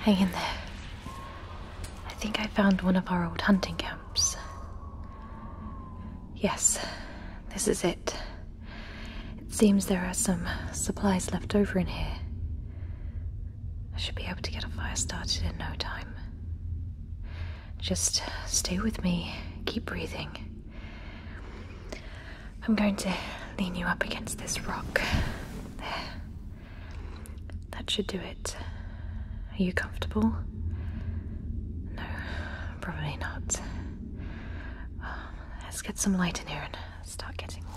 Hang in there. I think I found one of our old hunting camps. Yes, this is it. It seems there are some supplies left over in here. I should be able to get a fire started in no time. Just stay with me, keep breathing. I'm going to lean you up against this rock. There. That should do it. Are you comfortable? No, probably not. Um, let's get some light in here and start getting warm.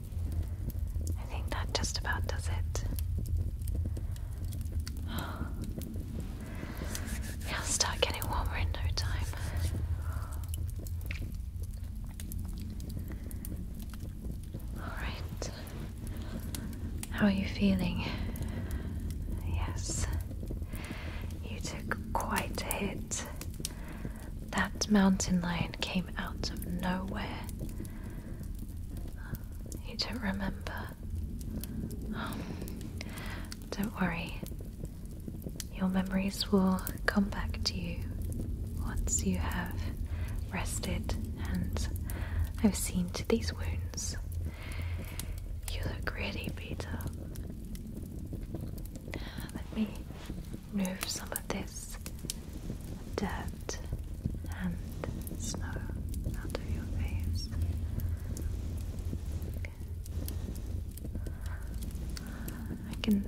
I think that just about does it. It'll start getting warmer in no time. Alright. How are you feeling? Yes. You took quite a hit. That mountain lion came out of nowhere. You don't remember? Oh, don't worry. Your memories will come back to you once you have rested and I've seen to these wounds. You look really beat Let me remove some of this dirt and snow out of your face. I can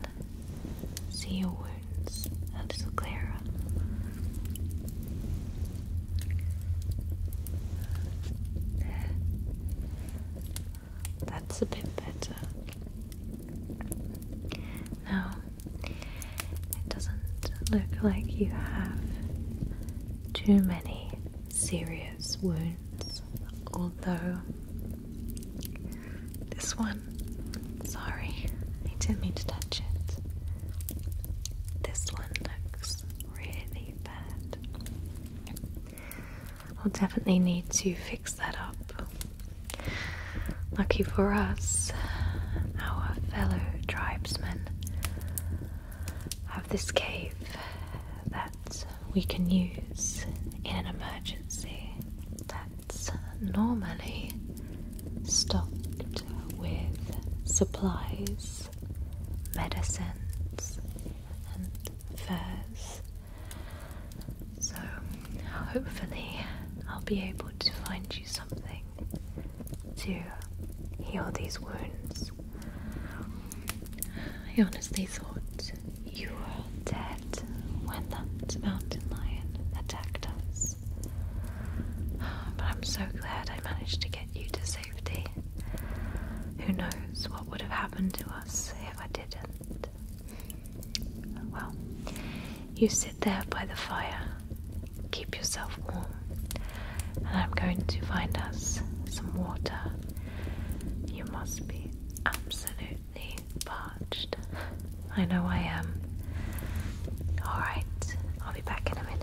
see your wounds a little clearer. That's a bit better. Now, it doesn't look like you have too many serious wounds, although this one, sorry, I didn't mean to touch it. This one looks really bad. I'll definitely need to fix that up Lucky for us, our fellow tribesmen have this cave that we can use in an emergency that's normally stocked with supplies, medicines, and furs. So, hopefully, I'll be able to find you something to heal these wounds. I honestly thought you were dead when that mountain lion attacked us. But I'm so glad I managed to get you to safety. Who knows what would have happened to us if I didn't? Well, you sit there by the fire, keep yourself warm, and I'm going to find us some water. You must be absolutely parched. I know I am. Alright, I'll be back in a minute.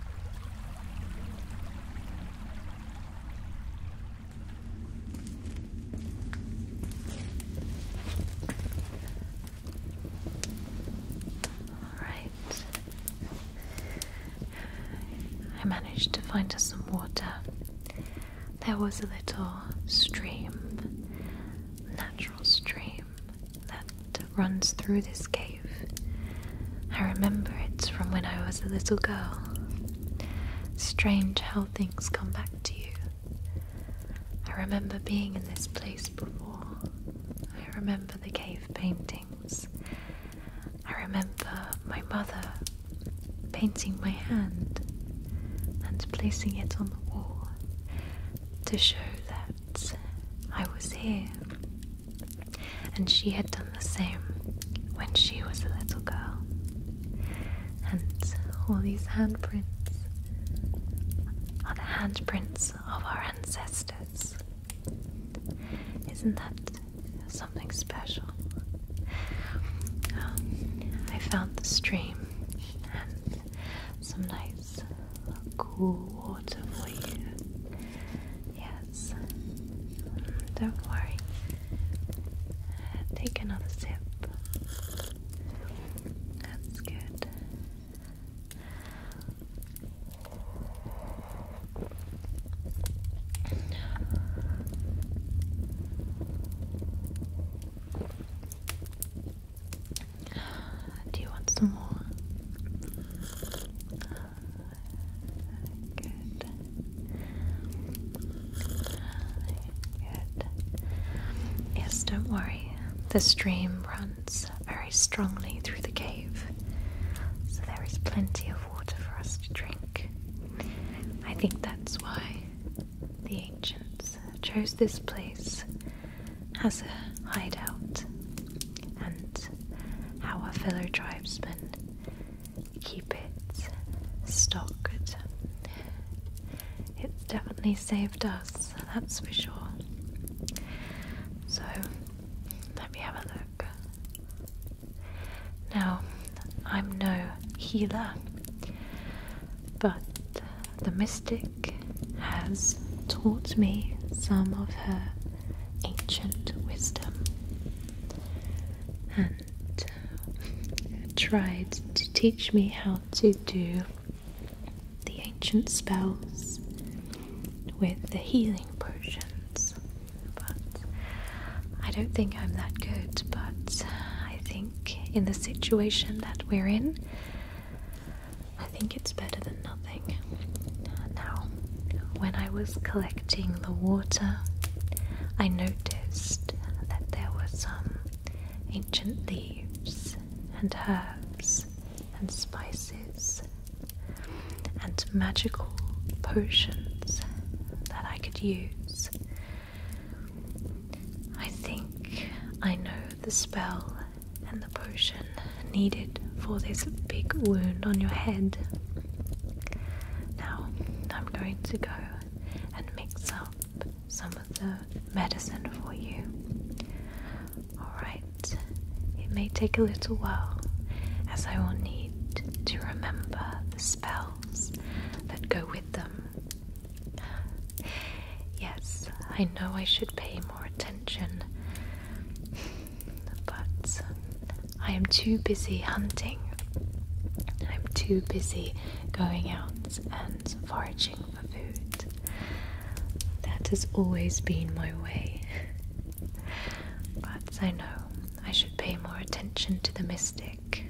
All right. I managed to find us some water. There was a little stream, natural stream, that runs through this cave. I remember it from when I was a little girl. Strange how things come back to you. I remember being in this place before. I remember the cave paintings. I remember my mother painting my hand and placing it on the wall to show that I was here and she had done the same when she was a little girl. And all these handprints are the handprints of our ancestors. Isn't that something special? Um, I found the stream and some nice cool water for you. Yes, don't worry. Take another sip. That's good. Do you want some more? Good. Good. Yes, don't worry. The stream runs very strongly through the cave, so there is plenty of water for us to drink. I think that's why the ancients chose this place as a hideout, and how our fellow tribesmen keep it stocked. It's definitely saved us, that's for sure. So, let me have a look. Now, I'm no healer, but the mystic has taught me some of her ancient wisdom and uh, tried to teach me how to do the ancient spells with the healing potions. But I don't think I'm that good, but uh, I think in the situation that we're in, I think it's better than nothing. Now, when I was collecting the water, I noticed that there were some ancient leaves and herbs and spices and magical potions that I could use. I think I know the spell and the potion needed for this big wound on your head. Now, I'm going to go and mix up some of the medicine for you. Alright, it may take a little while as I will need to remember the spells that go with them. Yes, I know I should pay more attention but um, I am too busy hunting. I'm too busy going out and foraging for food. That has always been my way. but I know I should pay more attention to the mystic,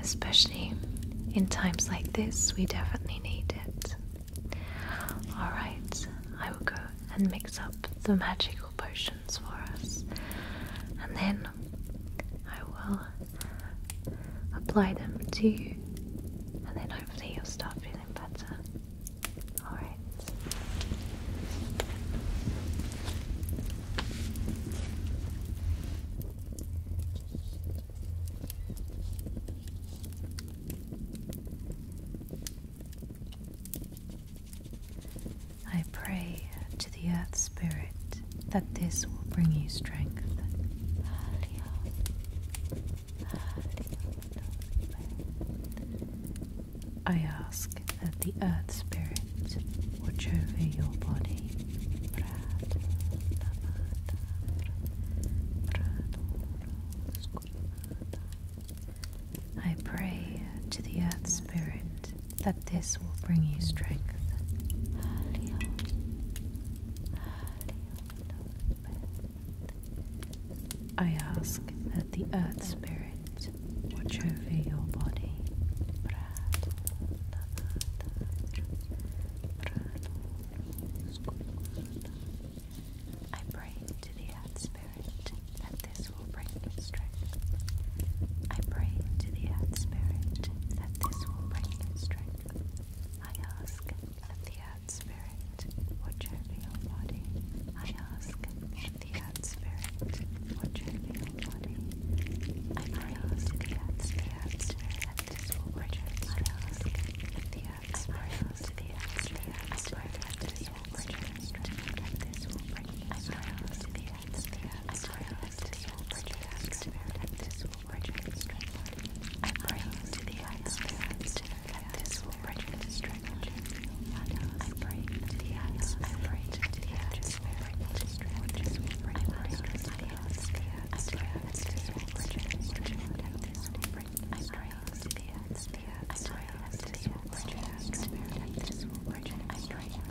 especially in times like this, we definitely need it. Alright, I will go and mix up the magical potions for us, and then I will apply them to you, and then hopefully you'll start feeling better. Alright. I pray to the earth spirit that this will bring you strength. I ask that the earth spirit watch over your body. I pray to the earth spirit that this will bring you strength. I ask that the earth spirit watch over your body. I pray to the Earth Spirit that this will bring him strength. I pray to the Earth Spirit that this will bring him strength. I ask that the Earth Spirit watch over your body. I ask that the Earth Spirit watch over your body. I pray I ask to the Earth Spirit that this will bring him strength. I ask that the Earth Spirit watch over your body. I ask that the Earth Spirit watch over your body will bring this will bring I promise to the I promise to the this will bring I promise to the this will bring I pray to the I pray to the this will bring this will bring I promise to the I promise to the this will bring I promise to the the atmosphere. I know to the atmosphere. I know to the atmosphere. I pray that this will bring me strength. I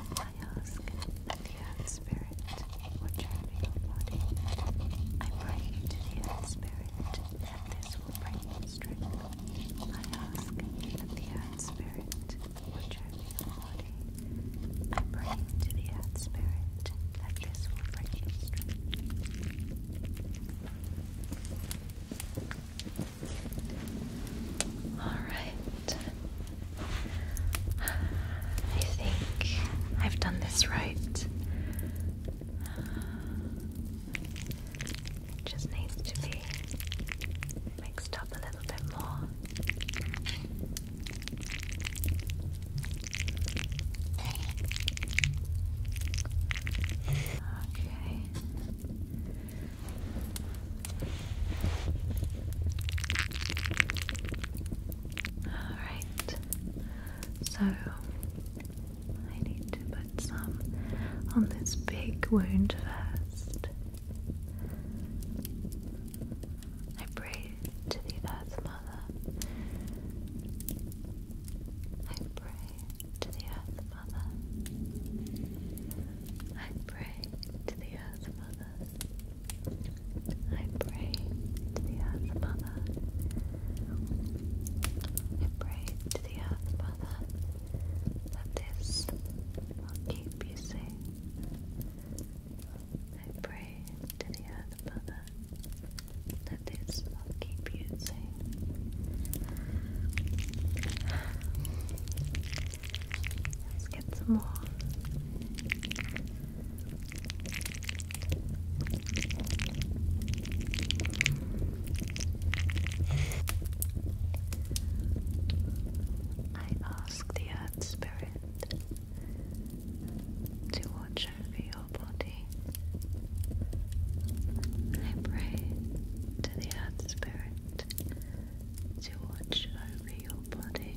I ask the head Spirit what your body. I pray to the Earth Spirit that this will bring me strength. I ask the Earth Spirit will show me your body. I pray to the Earth Spirit that this will bring me strength. Alright. I think I've done this right. just needs to be mixed up a little bit more. Okay. Alright, so I need to put some on this big wound first. I pray to the Earth Mother. I pray to the Earth Mother pray to the Earth Mother. I pray to the Earth Mother. I pray to the Earth Mother that this will keep you safe. I pray to the Earth Mother that this will keep you safe. Let's get some more. I ask the Earth Spirit to watch over your body. I pray to the Earth Spirit to watch over your body.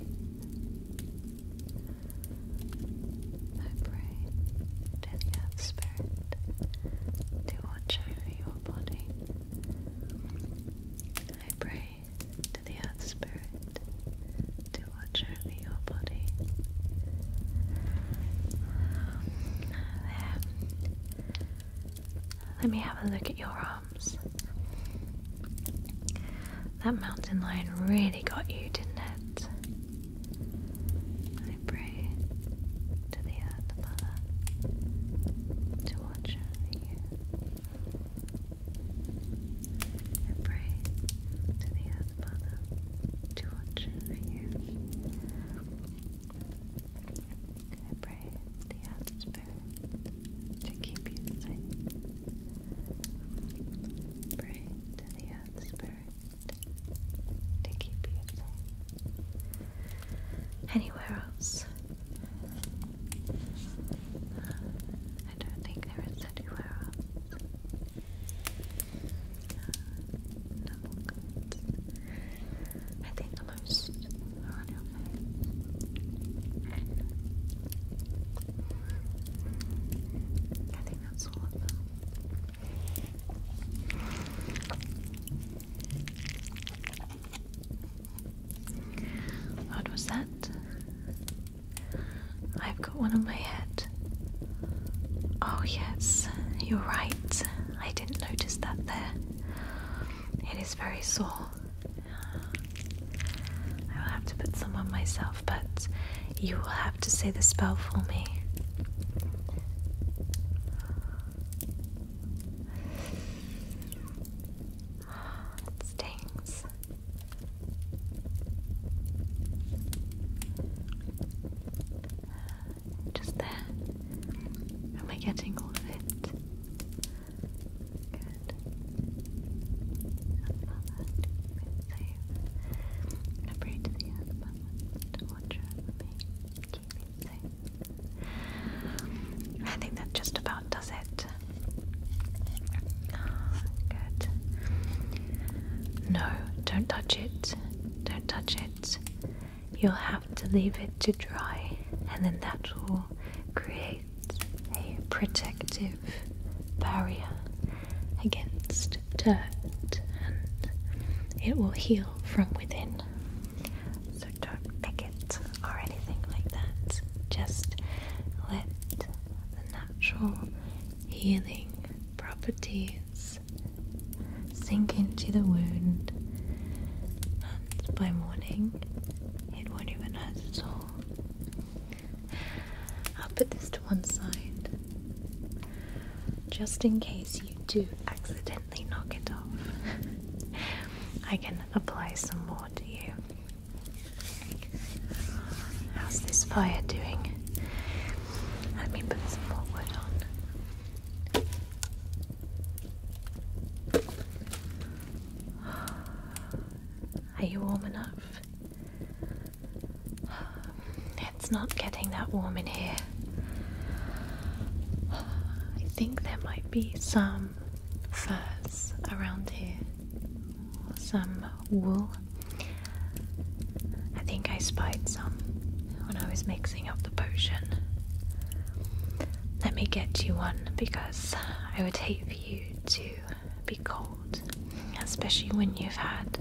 I pray that you have spirit to watch over your body. I pray to the earth spirit to watch over your body. Um, let me have a look at your that mountain lion really got you, didn't it? I pray to the earth mother to watch over you. I pray to the earth mother to watch over you. I pray the earth spirit to keep you safe. Pray to Spirit to keep you safe. Anywhere else? Uh, I don't think there is anywhere else. Uh, no, I think I think that's all of them. What was that? I've got one on my head. Oh, yes, you're right. I didn't notice that there. It is very sore. I will have to put some on myself, but you will have to say the spell for me. It stings. Just there. Am I getting all of it? safe. I pray to the earth mother to watch over me. Keep me safe. I think that just about does it. good. No, don't touch it. Don't touch it. You'll have to leave it to dry, and then that will create a protective barrier against dirt and it will heal from within. So don't pick it or anything like that. Just let the natural healing properties sink into the wound, and by morning it won't even hurt at all. I'll put this to one side just in case you do accidentally knock it off. I can apply some more to you. How's this fire doing? Let me put some more wood on. Are you warm enough? It's not getting that warm in here. I think there might be some furs around here, some wool. I think I spied some when I was mixing up the potion. Let me get you one because I would hate you to be cold, especially when you've had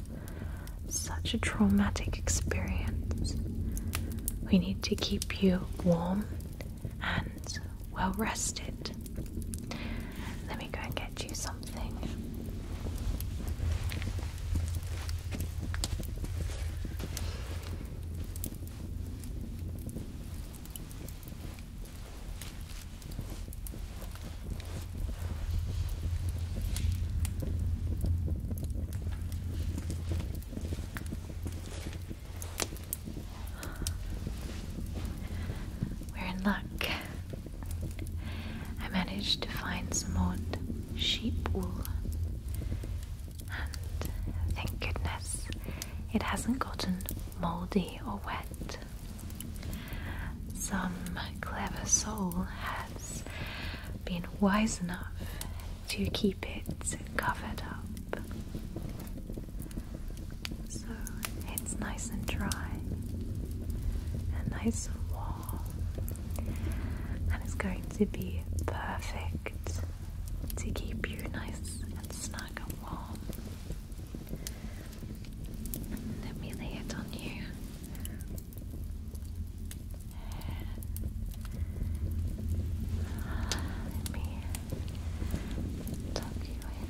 such a traumatic experience. We need to keep you warm and well rested. Let me go and get you something. We're in luck. I managed to find some old sheep wool. And thank goodness it hasn't gotten moldy or wet. Some clever soul has been wise enough to keep it covered up. So it's nice and dry and nice and warm, and it's going to be perfect to keep you nice and snug and warm. Let me lay it on you. Let me tuck you in.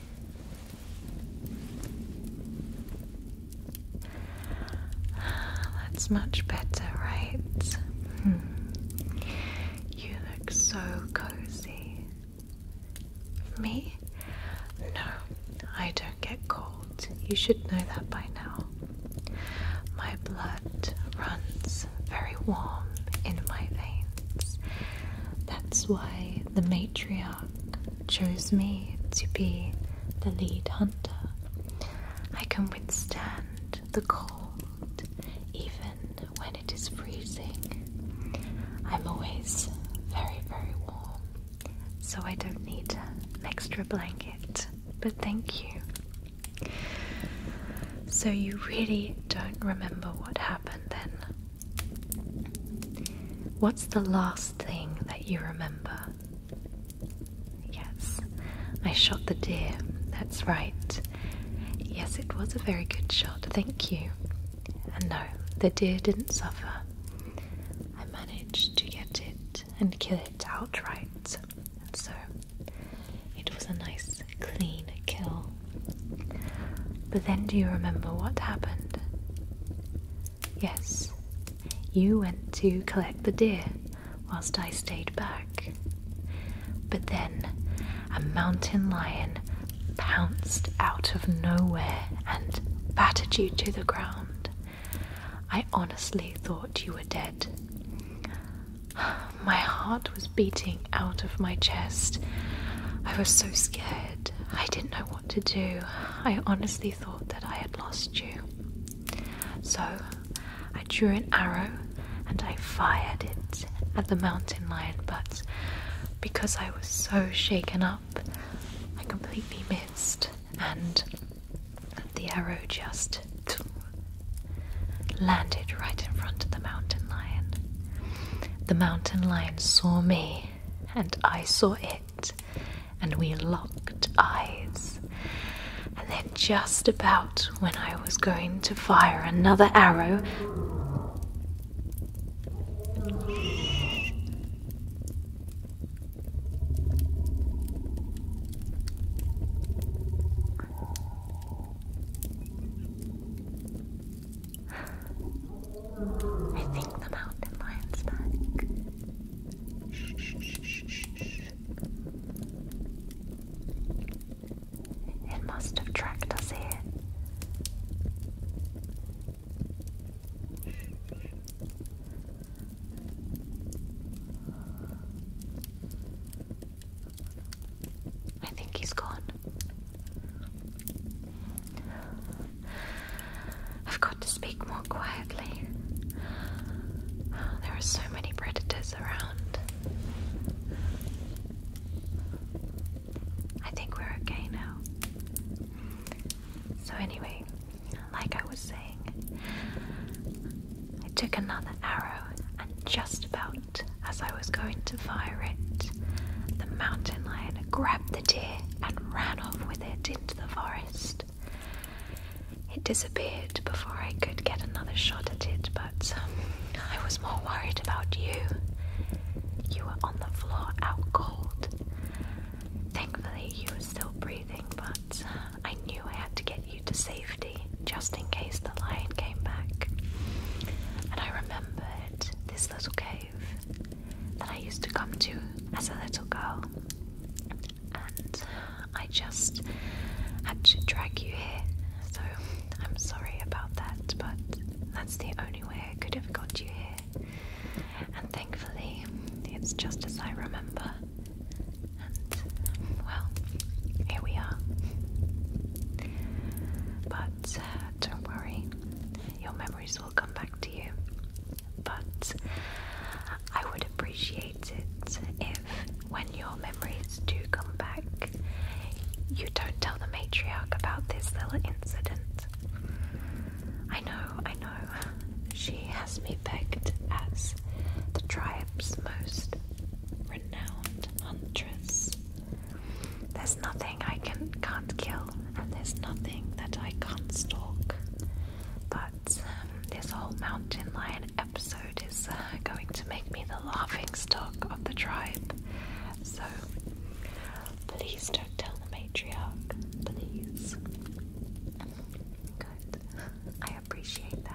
That's much better, right? Hmm. You look so cozy. Me? No, I don't get cold. You should know that by now. My blood runs very warm in my veins. That's why the matriarch chose me to be the lead hunter. I can withstand the cold even when it is freezing. I'm always very, very warm, so I don't need an extra blanket. But thank you. So, you really don't remember what happened then? What's the last thing that you remember? Yes, I shot the deer. That's right. Yes, it was a very good shot. Thank you. And no, the deer didn't suffer. I managed to get it and kill it outright. so it was a nice, clean kill. But then do you remember what happened? Yes, you went to collect the deer whilst I stayed back. But then a mountain lion pounced out of nowhere and battered you to the ground. I honestly thought you were dead. My heart was beating out of my chest. I was so scared. I didn't know what to do. I honestly thought that I had lost you. So I drew an arrow and I fired it at the mountain lion, but because I was so shaken up, I completely missed, and the arrow just landed right in front of the mountain lion. The mountain lion saw me and I saw it, and we locked eyes. And then, just about when I was going to fire another arrow, I think the mountain lion's back. It must have tracked us here. I think he's gone. I've got to speak more quietly. There are so many predators around. I think we're okay now. So, anyway, like I was saying, I took another arrow, and just about as I was going to fire it, the mountain lion grabbed the deer and ran off with it into the forest. It disappeared before I could get another shot at it, but um, I was more worried about you. You were on the floor out cold. Thankfully, you were still breathing, but uh, I knew I had to get you to safety just in case the lion came back. And I remembered this little cave that I used to come to as a little girl. And I just had to drag you here, so I'm sorry about that, but that's the only way I could have got you here. And thankfully, it's just as I remember. And, well, here we are. But uh, don't worry, your memories will come back to you. But I would appreciate it if, when your memories do come back, you don't tell the matriarch about this little incident. I know, I know. She has me pegged as the tribe's most renowned huntress. There's nothing I can can't kill and there's nothing that I can't stalk. But um, this whole mountain lion episode is uh, going to make me the laughing stock of the tribe. So please don't tell the matriarch, please. Good. I appreciate that.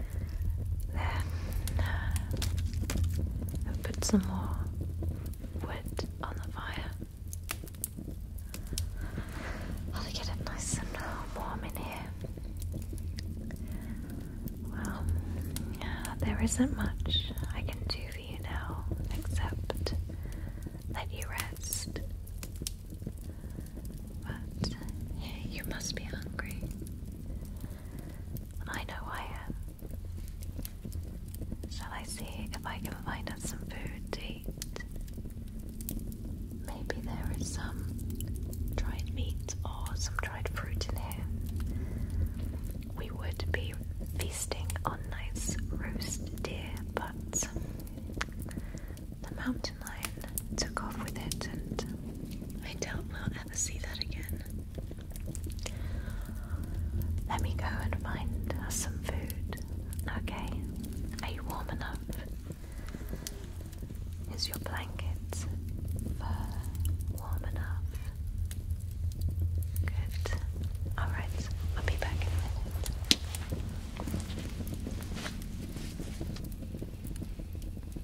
Then put some more wood on the fire. I'll get it nice and warm in here. Well, there isn't much I can do for you now, except let you rest. But you must be hungry. I know I am. Shall I see if I can find us some food to eat? Maybe there is some dried meat or some dried fruit in here. We would be feasting on nice roast deer, but the mountain lion took off with it, and I don't we'll ever see that again. Let me go and find us some food. Okay, are you warm enough? Is your blanket fur warm enough? Good. Alright, I'll be back in a minute.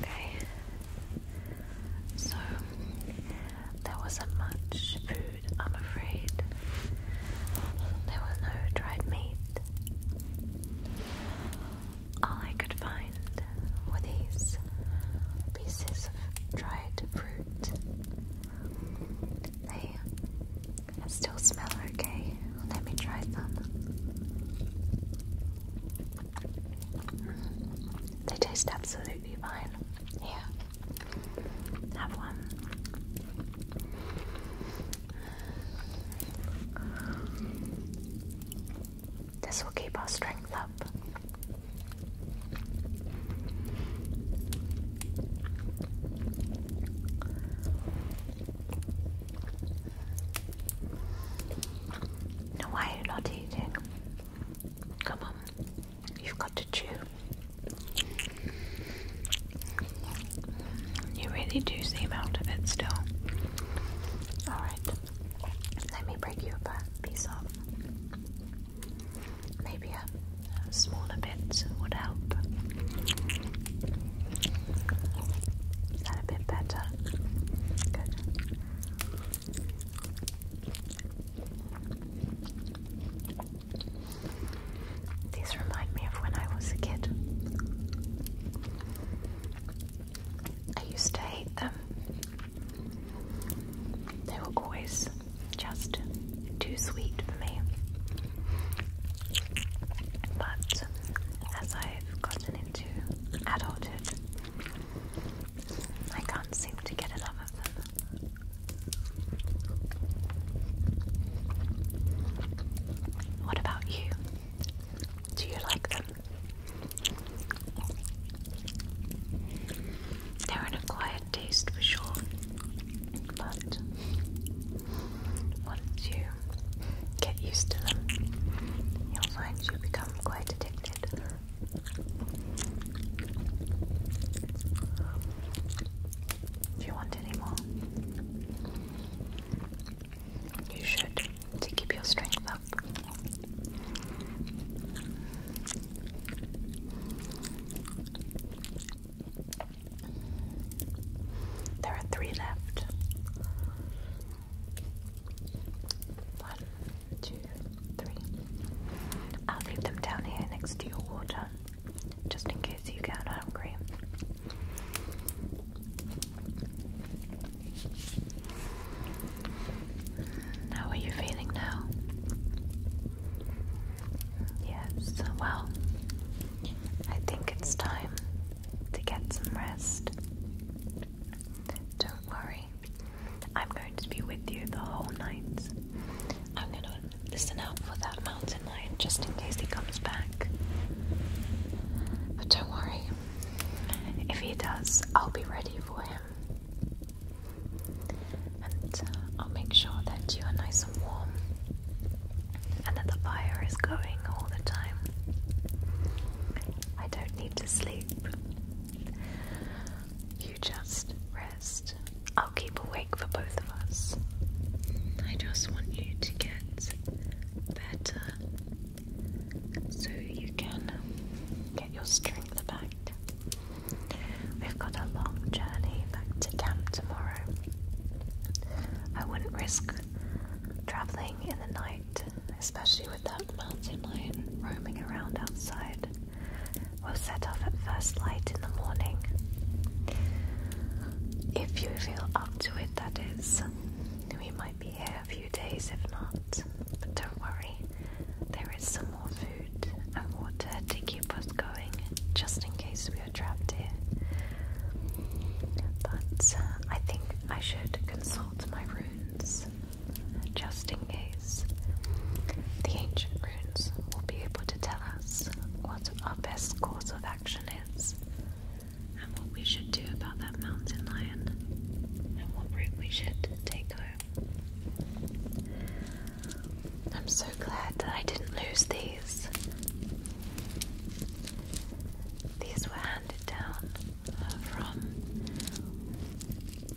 Okay, so there wasn't much food, I'm afraid. There was no dried meat. All I could find were these pieces of dried fruit they still smell okay. Let me try some. they taste absolutely fine. Yeah. Have one. This will keep our strength up. No, why are you not eating? Come on, you've got to chew. You really do seem out of it still. Alright, let me break you apart. Peace off. Maybe a, smaller bit would help. Is that a bit better? Good. These remind me of when I was a kid. I used to hate them. They were always just too sweet for me. But as I've gotten into adulthood, I can't seem to get enough of them. What about you? Do you like them? They're in a quiet taste for sure. But once you get used to them, you'll find you become quite addicted. If you want any more, you should to keep your strength up. There are three left. One, two, three. I'll leave them down here next to your water, just in case you get hungry. How are you feeling now? Yes, well, I think it's time to get some rest. Don't worry, I'm going to be with you the whole night. I'm gonna listen out for that mountain lion just in case he comes back. But don't worry, if he does, I'll be ready for him. And uh, I'll make sure that you are nice and warm and that the fire is going all the time. I don't need to sleep. You just rest. I'll keep awake for both of us. I just want you to get better so you can get your strength back We've got a long journey back to camp tomorrow. I wouldn't risk travelling in the night, especially with that mountain lion roaming around outside. We'll set off at first light in the morning. If you feel up to it, that is. We might be here a few days if not, but don't worry, there is some more food and water to keep us going just in case we are trapped here. But uh, I think I should consult my runes just in case. The ancient runes will be able to tell us what our best course of action is, and what we should do about that mountain lion, and what route we should take home. I'm so glad that I didn't lose these. These were handed down uh, from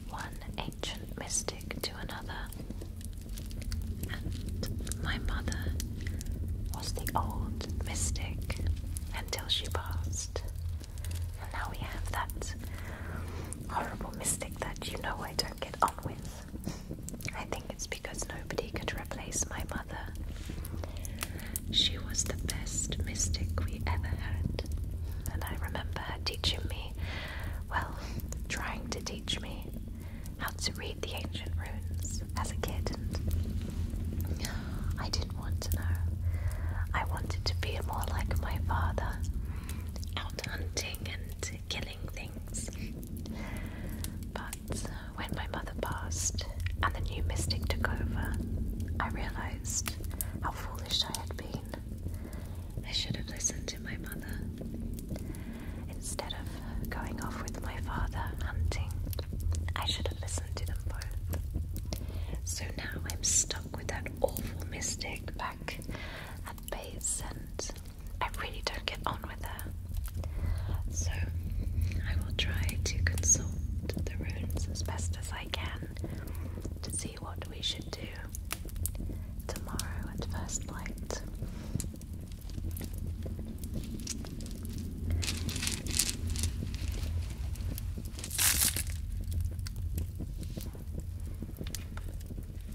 one ancient mystic to another, and my mother was the old mystic until she passed. And now we have that horrible mystic that you know I don't get on with. I think it's because nobody could replace my mother. She was the best mystic we ever had, and I remember her teaching me, well, trying to teach me how to read the ancient runes as a kid, and I didn't want to know. I wanted to be more like my father, out hunting and killing things. But uh, when my mother passed and the new mystic took over, I realised how foolish I had been. I should have listened to my mother instead of going off with my father hunting. I should have listened to them both. So now I'm stuck with that awful mystic back at base and I really don't get on with her. So I will try to consult the runes as best as I can to see what we should do tomorrow at first light.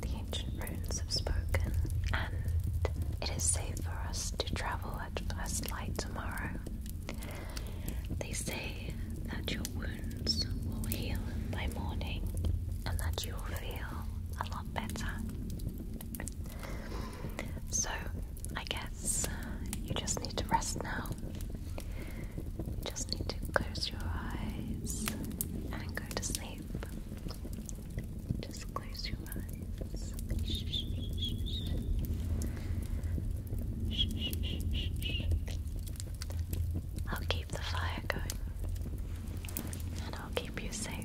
the ancient runes have spoken, and it is safe for us to travel at first light tomorrow. They say that your wounds will heal by morning, and that you will feel a lot better. So, I guess uh, you just need to rest now. You just need to close your eyes and go to sleep. Just close your eyes. I'll keep the fire going, and I'll keep you safe.